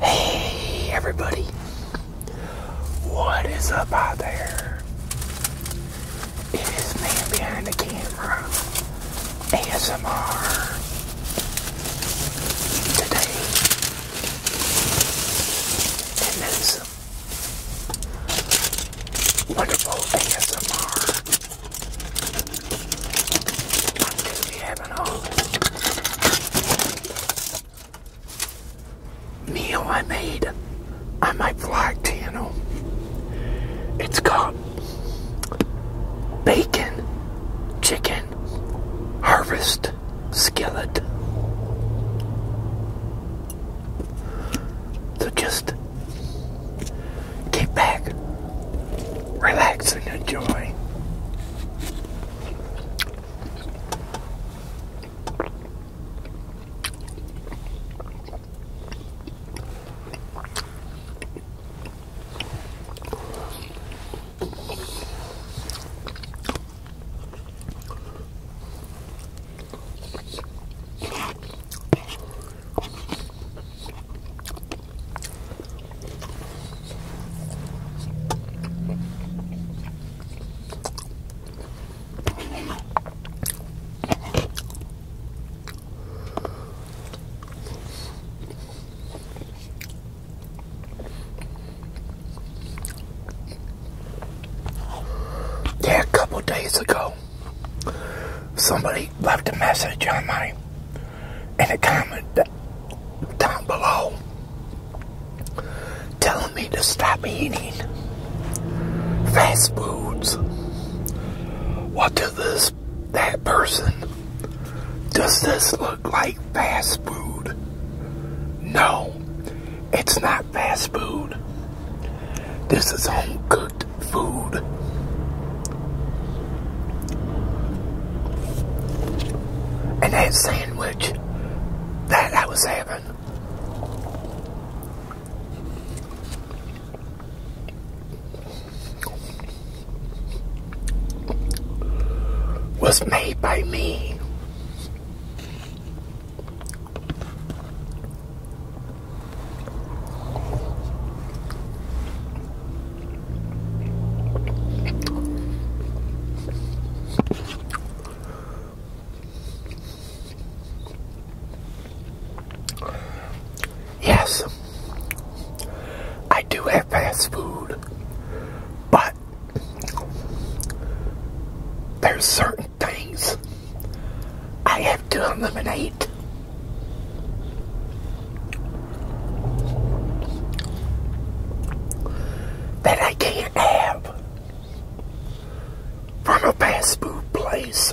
Hey everybody, what is up out there? It is man behind the camera, ASMR. Today, in wonderful ASMR i meal I made on my vlog channel. It's called Bacon Chicken Harvest Skillet. So just Get back, relax, and enjoy. Yeah, a couple days ago somebody left a message on my in a comment down below telling me to stop eating fast foods. What does this that person does this look like fast food? No, it's not fast food. This is home cooked food. And that sandwich that I was having was made by me. Yes, I do have fast food, but there's certain things I have to eliminate. That I can't have from a fast food place.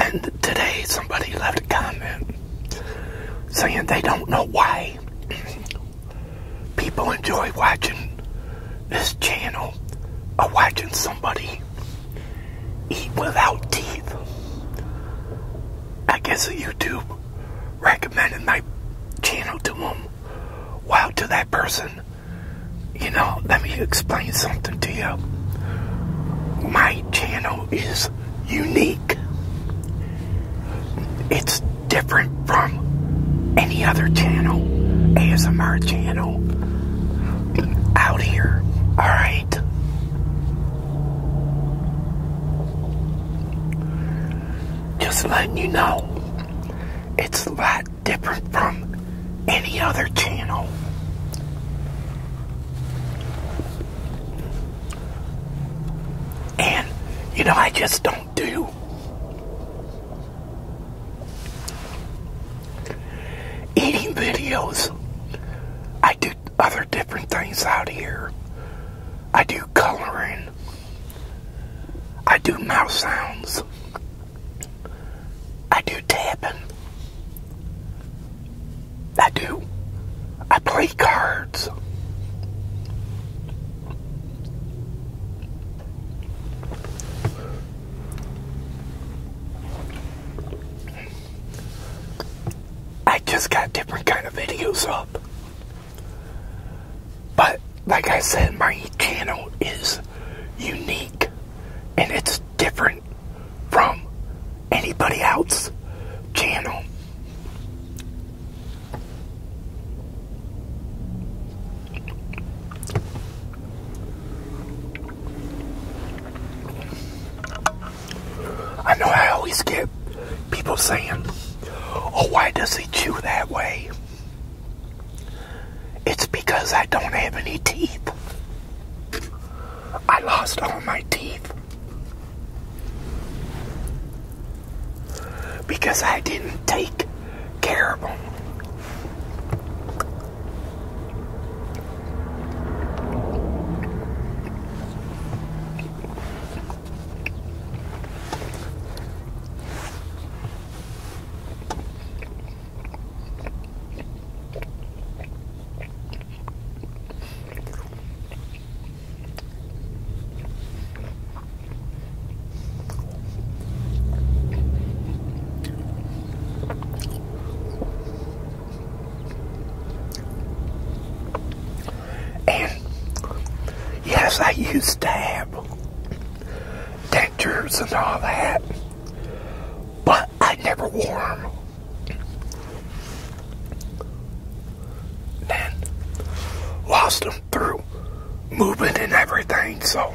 and today somebody left a comment saying they don't know why people enjoy watching this channel or watching somebody eat without teeth. I guess YouTube recommended my channel to them. Wow, to that person, you know, let me explain something to you. My channel is unique. It's different from any other channel, ASMR channel out here. All right. Just letting you know, it's a lot different from any other channel. And, you know, I just don't do eating videos. I do other different things out here. I do coloring. I do mouse sounds. I do tapping. I do. I play cards. I just got different kind of videos up. But like I said, my channel is unique and it's different from anybody else channel. I know I always get people saying, oh, why does he chew that way? It's because I don't have any teeth. I lost all my teeth because I didn't take care of them. And yes, I used to have and all that. But I never wore them. Then lost them through movement and everything, so.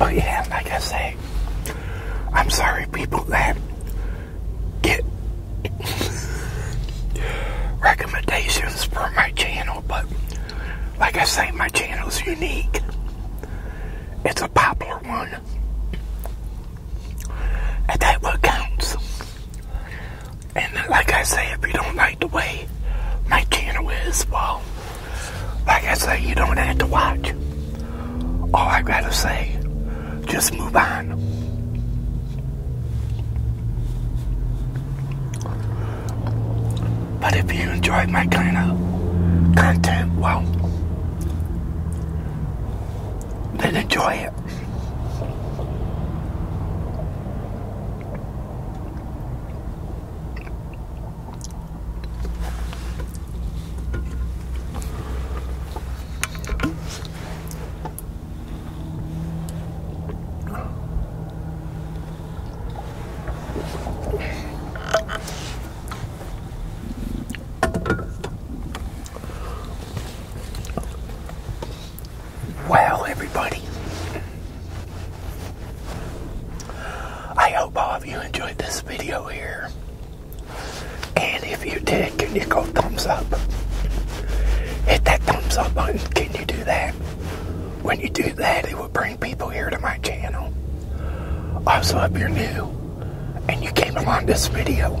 Oh yeah, like I say, I'm sorry, people that get recommendations for my channel, but like I say, my channel is unique. It's a popular one. And that what counts. And like I say, if you don't like the way my channel is, well, like I say, you don't have to watch. All I gotta say, just move on. But if you enjoy my kind of content, well, then enjoy it. Wow, everybody. I hope all of you enjoyed this video here. And if you did, can you go thumbs up? Hit that thumbs up button. Can you do that? When you do that, it will bring people here to my channel. Also, if you're new and you came along this video,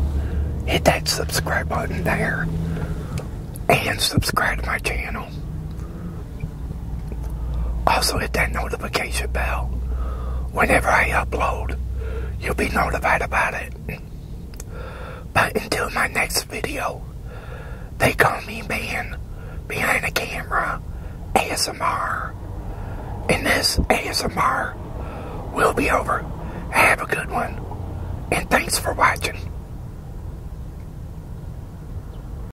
hit that subscribe button there and subscribe to my channel. Also hit that notification bell. Whenever I upload, you'll be notified about it. But until my next video, they call me man behind the camera ASMR. And this ASMR will be over. Have a good one. And thanks for watching.